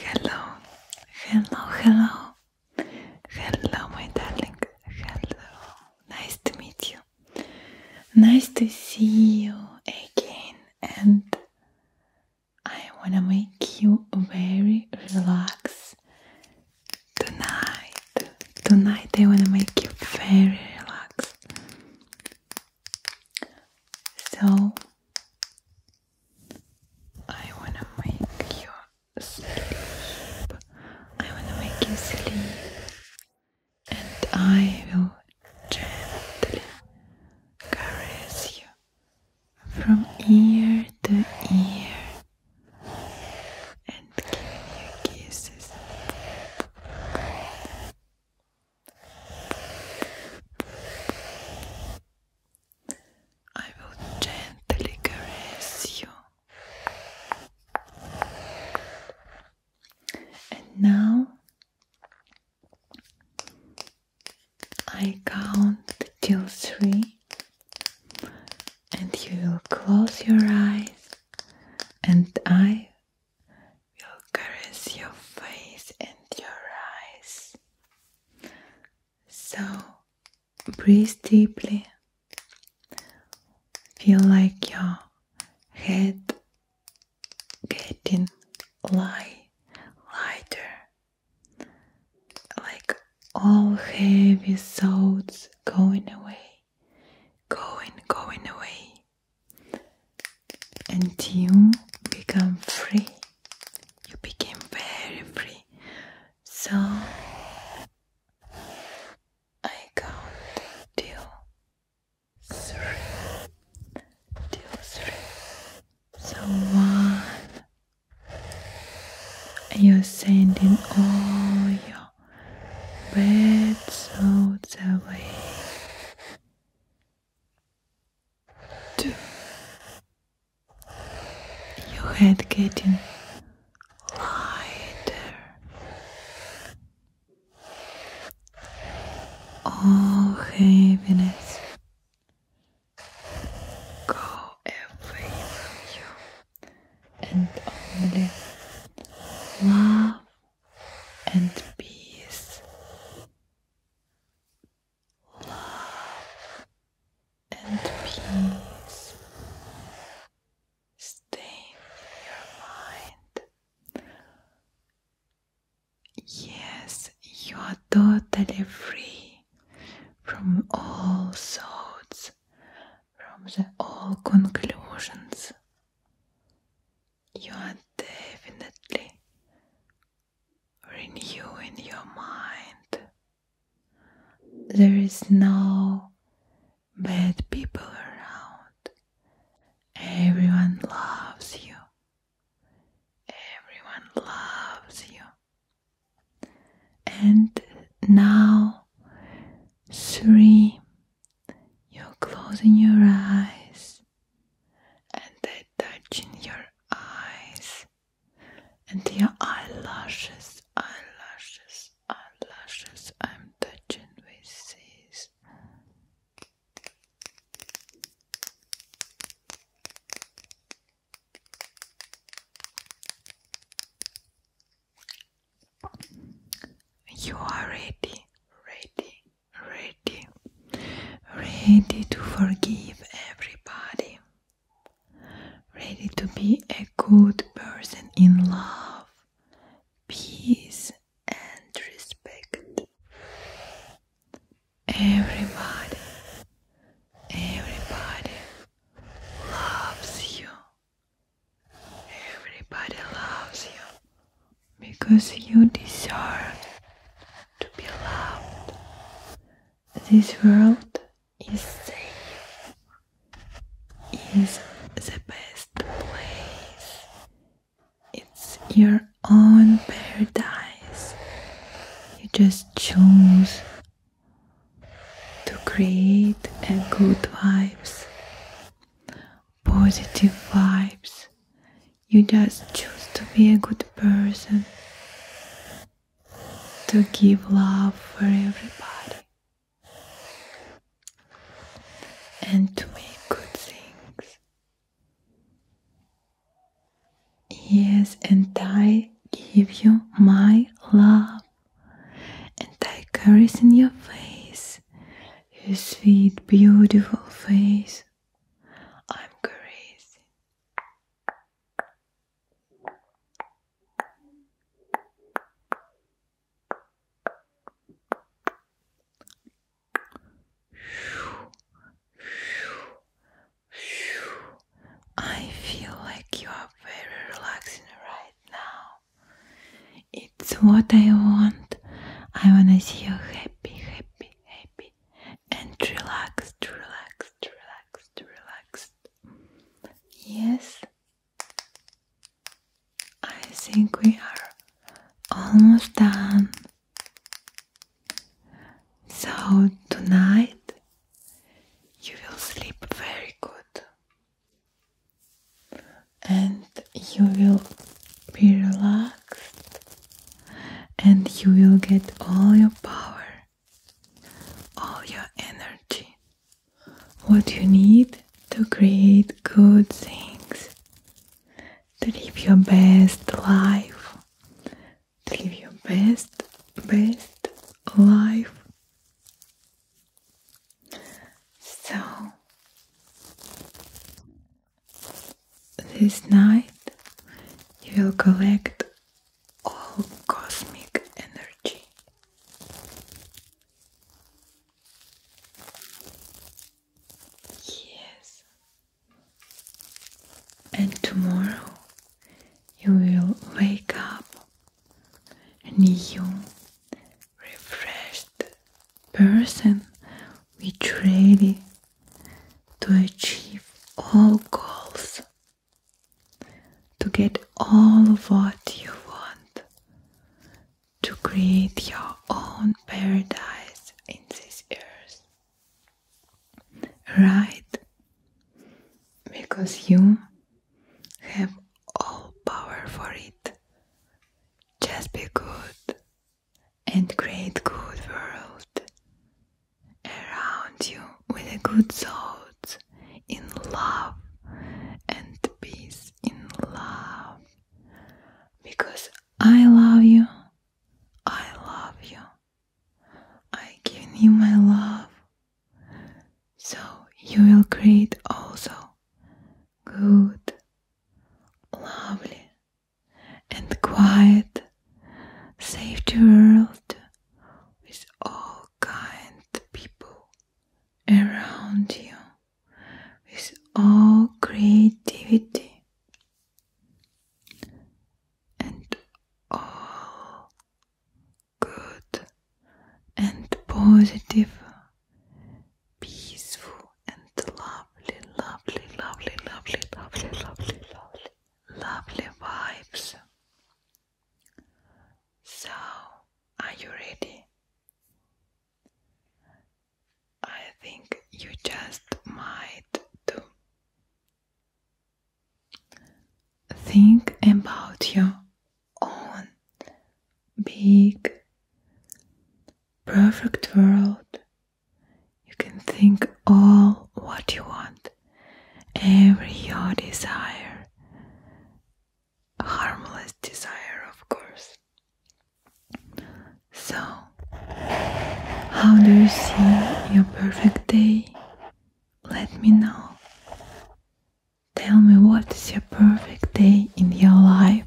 Hello, hello, hello, hello, my darling. Hello, nice to meet you. Nice to see you again, and I wanna make you very relaxed tonight. Tonight, I wanna make you very relaxed. So, I wanna make you sleep. I wanna make you sleep. And I will gently caress you from ear to ear and giving you kisses. I will gently caress you. And now I count till three, and you will close your eyes, and I will caress your face and your eyes. So breathe deeply. Feel like your head getting light, lighter, like all heavy thoughts going away, going, going away, Until you become free you became very free. So I count till three, till three. So one, you're sending all your bad thoughts away to your head getting lighter. All heaviness go away from you and only love and peace love and peace stay in your mind. Yes, you are totally free from all thoughts, from all conclusions. You are definitely renew in your mind. There is no bad people around. Everyone loves you. Everyone loves you. And now, three, you're closing your eyes and they touch touching your eyes and your eyelashes, eyelashes, eyelashes. I'm touching with these. You are ready, ready, ready, ready to forgive everybody, ready to be a good person in love, peace, and respect. Everybody, everybody loves you. Everybody loves you because you deserve to be loved. This world is safe, is the best place. It's your own paradise. You just choose to create a good vibes, positive vibes. You just choose to be a good person, to give love for everybody, and to make good things. Yes, and I give you my love, and I caress in your face, your sweet, beautiful face. I'm crazy. I feel like you are very relaxing right now. It's what I want. I wanna see you happy, happy, happy, and relaxed, relaxed, relaxed, relaxed. Yes, I think we are almost done. So, tonight you will sleep very good and you will be relaxed and you will get all your power, all your energy, what you need to create good things, to live your best life, to live your best, best life. So, this night you will collect all cosmic energy. Yes. And tomorrow you will wake up and new, refreshed person which ready to achieve all goals, to get all of what you want, to create your own paradise in this earth. Right? Because you have all power for it. Just be good, and create good world around you with a good thoughts in love and peace in love because I love you I love you I give you my love so you will create also good lovely and quiet, safety world with all kind people around you, with all creativity and all good and positive, peaceful and the lovely, lovely, lovely, lovely, lovely, lovely, lovely, lovely vibes. So, are you ready? I think you just might do. Think about your own big, perfect world you can think all what you want, every your desire, harmless desire, of course. So, how do you see your perfect day? Let me know. Tell me what is your perfect day in your life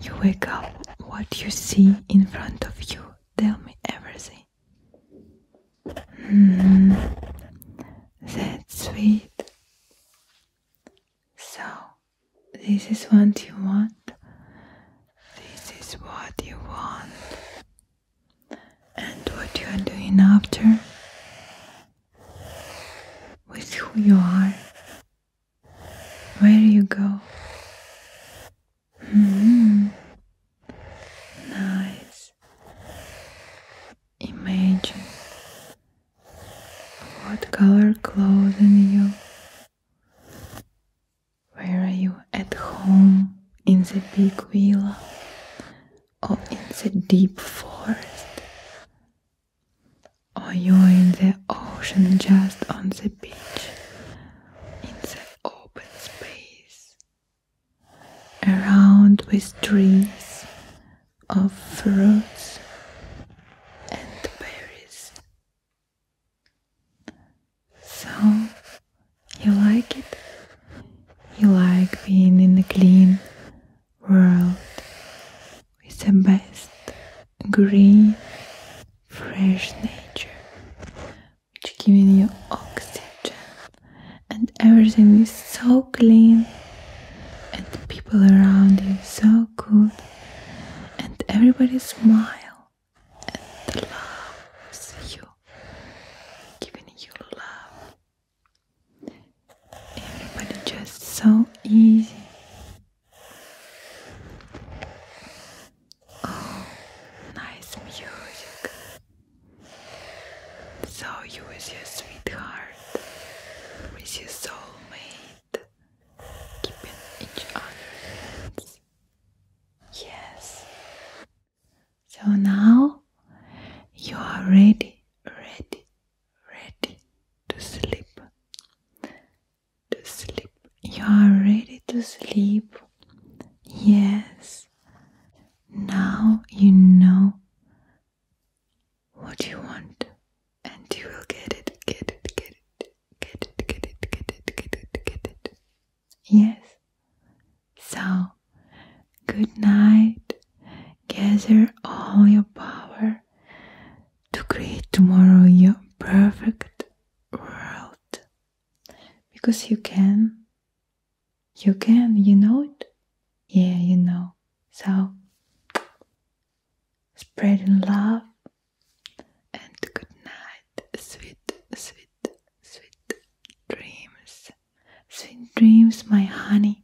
you wake up, what you see in front of you, tell me everything. Hmm, that's sweet. So, this is what you want, this is what you want, and what you are doing after with who you are where do you go? -hmm. Nice. Imagine what color clothing you. Where are you at home? In the big villa or in the deep forest? or you're in the ocean just on the beach, in the open space, around with trees of fruits and berries. So, you like it? You like being in a clean world with the best green, fresh nature, which giving you oxygen, and everything is so clean, and the people around you so good, and everybody smile and loves you, giving you love. Everybody just so easy Oh, nice music. So you with your sweetheart, with your soulmate, keeping each other hands. Yes. So now you are ready, ready, ready to sleep to sleep. You are ready to sleep. Yes. Now you know what you want and you will get it, get it, get it, get it, get it, get it, get it, get it. Yes. So, good night. Gather all your power to create tomorrow your perfect world because you can you can you know it yeah you know so spreading love and good night sweet sweet sweet dreams sweet dreams my honey